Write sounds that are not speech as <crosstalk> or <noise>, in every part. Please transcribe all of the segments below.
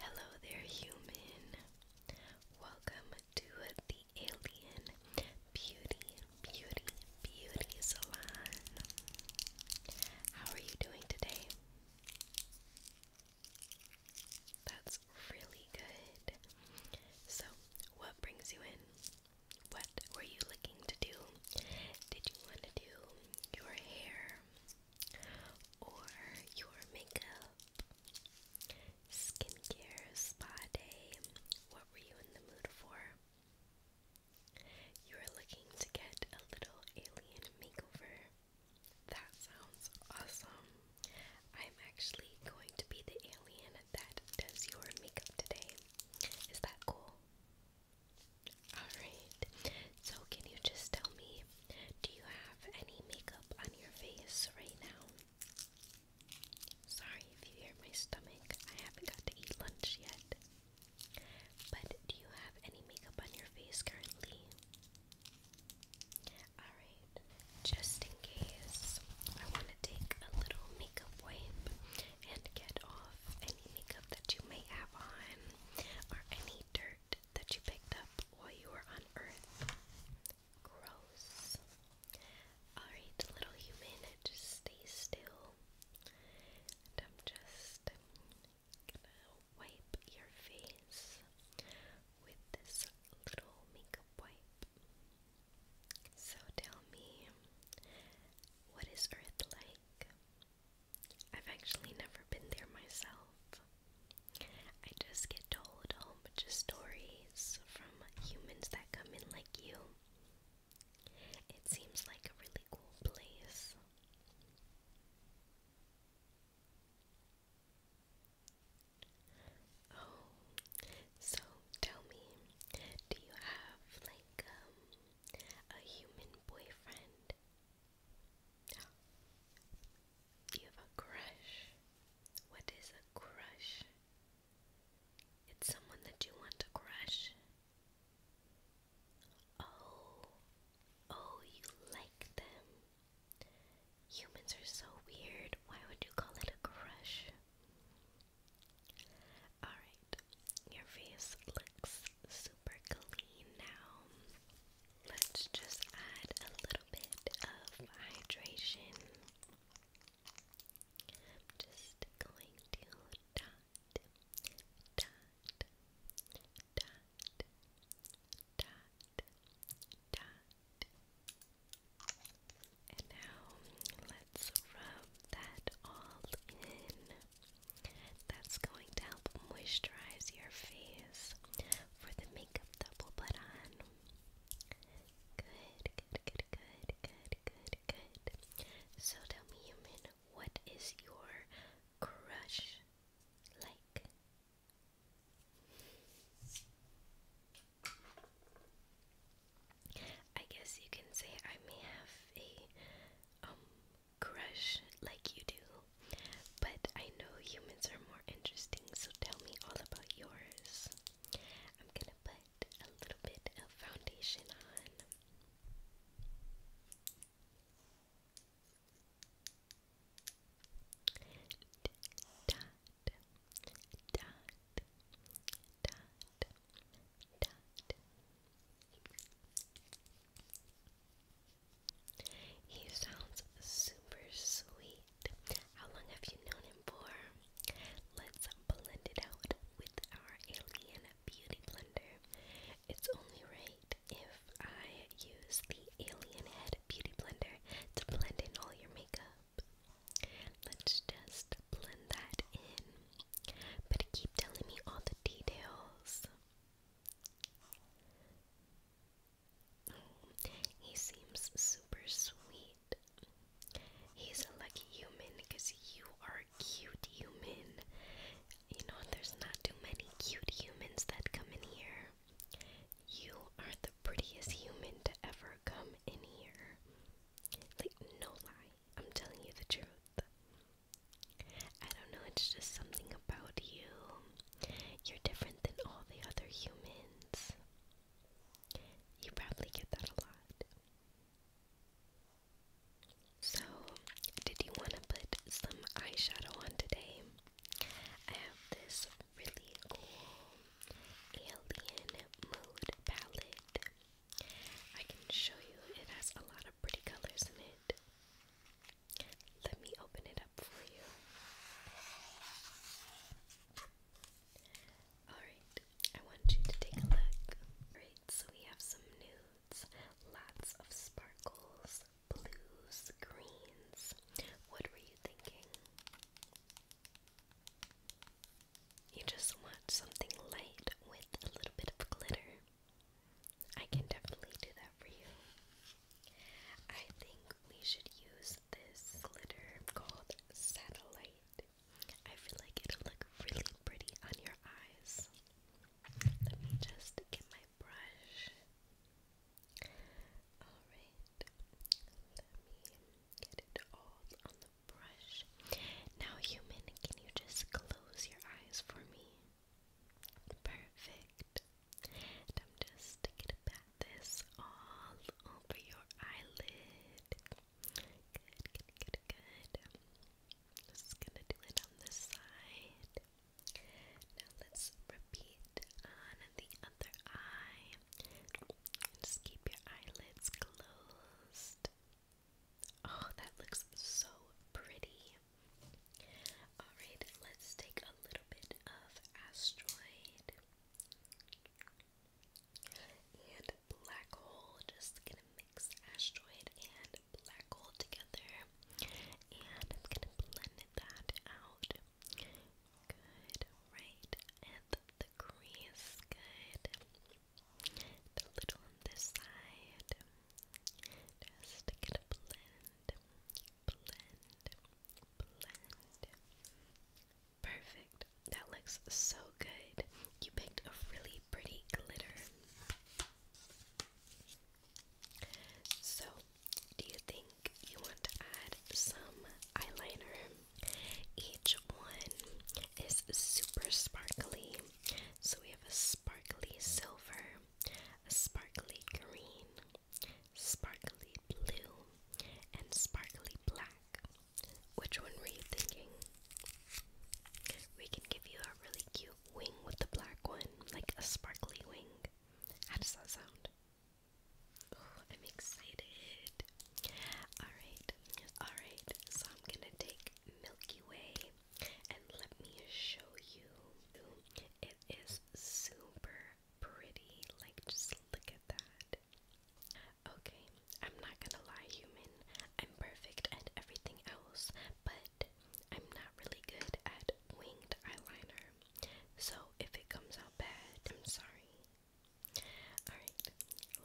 Hello there, human. Welcome to the Alien Beauty, Beauty, Beauty Salon. How are you doing today? That's really good. So, what brings you in? What were you looking to do? Did you want to do your hair? or your makeup, skincare, spa day. What were you in the mood for? You are looking to get a little alien makeover. That sounds awesome. I'm actually going to be the alien that does your makeup today. Is that cool? Alright, so can you just tell me, do you have any makeup on your face right now? Sorry if you hear my stomach, I haven't got to eat lunch yet. But do you have any makeup on your face currently? Alright, just in case, I want to take a little makeup wipe and get off any makeup that you may have on or any dirt that you picked up while you were on Earth. Gross. Alright, little human, just stay still. I'm just gonna wipe your face with this little makeup wipe. So tell me, what is Earth like? I've actually never been there myself. I just get told oh, a whole bunch of stories from humans that come in like you. It seems like a really cool place. Oh, so tell me, do you have like um a human boyfriend? You have a crush. What is a crush? It's someone that you want to crush. Oh, oh, you like them. Humans are so weird. Why would you call it a crush? Alright, your face looks super clean now. Let's just add a little bit of hydration. I'm just going to dot, dot, dot, dot, dot. And now rub that all in. That's going to help moisturize your face for the makeup that we'll put on. Good, good, good, good, good, good, good. So tell me, human, what is your crush like? I guess you can say I may have a um crush like you do, but I know humans are more interesting, so tell me all about yours. I'm gonna put a little bit of foundation on. He sounds super sweet. How long have you known him for? Let's blend it out with our alien beauty blender. It's only right if I use the alien head beauty blender to blend in all your makeup. Let's just blend that in. But keep telling me all the details. he seems super sweet. He's a lucky human because you are cute human. You know, there's not too many cute humans that come in here. You are the prettiest human to ever come in here. Like, no lie. I'm telling you the truth. I don't know, it's just something about you. You're different than all the other humans. You probably get that a lot. So, did you want to put some eyeshadow on today? I have this really cool alien mood palette. I can show you, it has a lot of pretty colors in it. Let me open it up for you. Alright, I want you to take a look. Alright, so we have some nudes, lots of sparkles, blues, greens. What were you thinking? You just want something light with a little bit of glitter. I can definitely do that for you. I think we should use this glitter called Satellite. I feel like it'll look really pretty on your eyes. Let me just get my brush. Alright, Get it all on the brush. Now, human, can you just close your eyes for me? Perfect. I'm just gonna pat this all over your eyelid. Good, good, good, good. just gonna do it on this side. Now let's repeat on the other eye. And just keep your eyelids closed. Oh, that looks so pretty. Alright, let's take a little bit of asteroid and black hole. Just gonna mix asteroid and black hole together. And I'm gonna blend that out Good, right at the crease. Good. a little on this side. Just to blend. Blend. Blend. Perfect. That looks so good. You picked a really pretty glitter. So, do you think you want to add some eyeliner? Each one is super sparkly. So we have a sparkly silver, a sparkly green, sparkly blue, and sparkly black. Which one were you thinking? We can give you a really cute wing with the black one, like a sparkly wing. How does that sound? Oh, I'm excited. Alright, alright. So I'm gonna take Milky Way and let me show you. It is super pretty. Like, just look at that. Okay, I'm not gonna lie, human. I'm perfect at everything else, but I'm not really good at winged eyeliner. So if it comes out bad, I'm sorry. Alright,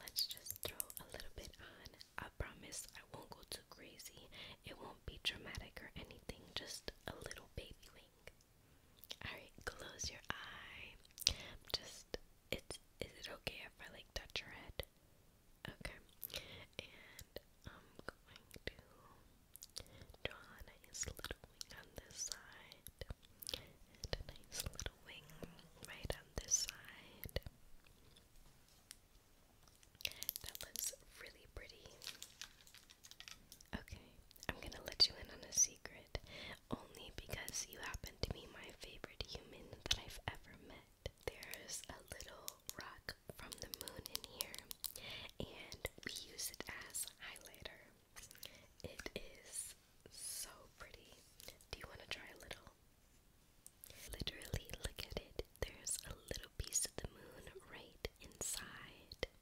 let's just throw a little bit on. I promise I won't go too crazy. It won't be dramatic or anything, just a little baby wink. Alright, close your eye. Just it's is it okay if I like touch your head? Okay. And I'm going to draw a nice little wing on this side a nice little wing right on this side. That looks really pretty. Okay, I'm gonna let you in on a secret. Only because you happen to be my favorite human that I've ever met. There's a little rock from the moon in here, and we use it as highlighter. It is so pretty. Do you want to try a little? Literally, look at it. There's a little piece of the moon right inside.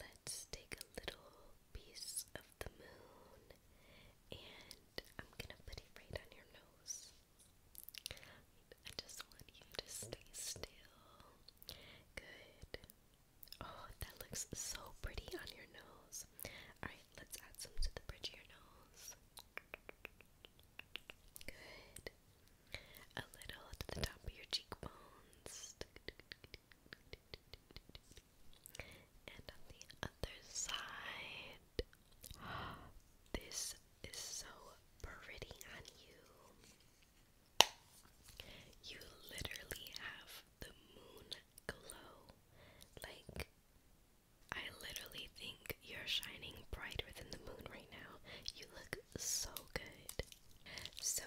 Let's take a little piece of the moon and I'm gonna put it right on your nose. I just want you to stay still Good. Oh, that looks so pretty on your nose. Alright, let's add some to the bridge of your nose. Good. A little to the top of your cheekbones. And on the other side. <gasps> This is so pretty on you. You literally have the moon glow. Like, I literally think you're shining brighter than the moon right now. You look so good. So,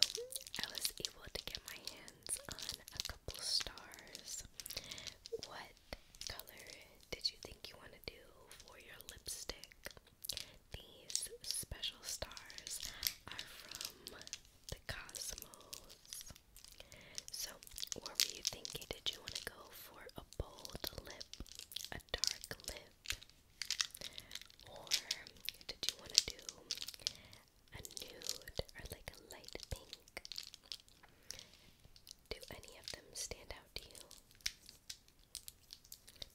I was able to get my hands on a couple stars. What color did you think you want to do for your lipstick? These special stars are from the cosmos. So, what were you thinking? Did you want to go for a bold lip, a dark lip, or did you want to do a nude or like a light pink? Do any of them stand out to you?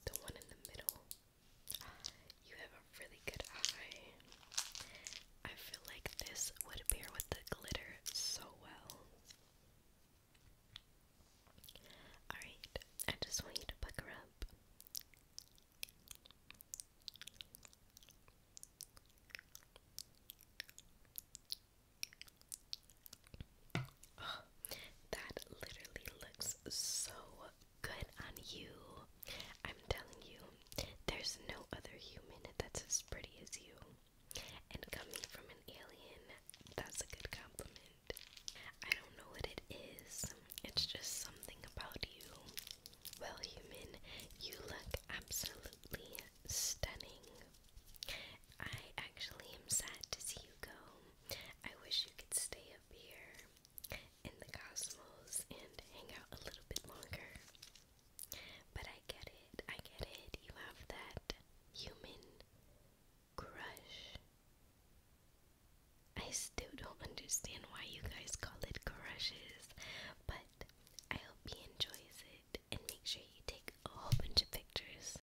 The one in the middle. You have a really good eye. I feel like this would pair with the glitter so well. Alright, I just want you to pucker up that literally looks so good on you. I'm telling you, there's no other human that's as pretty as you. And coming from an alien, that's a good compliment. I don't know what it is, it's just something about you. Well, human, you look absolutely stunning. I actually am sad to see you go. I wish you could stay up here in the cosmos and hang out a little bit longer. But I get it, I get it. You have that human crush. I still don't understand why you guys call it crushes, but I hope he enjoys it and make sure you take a whole bunch of pictures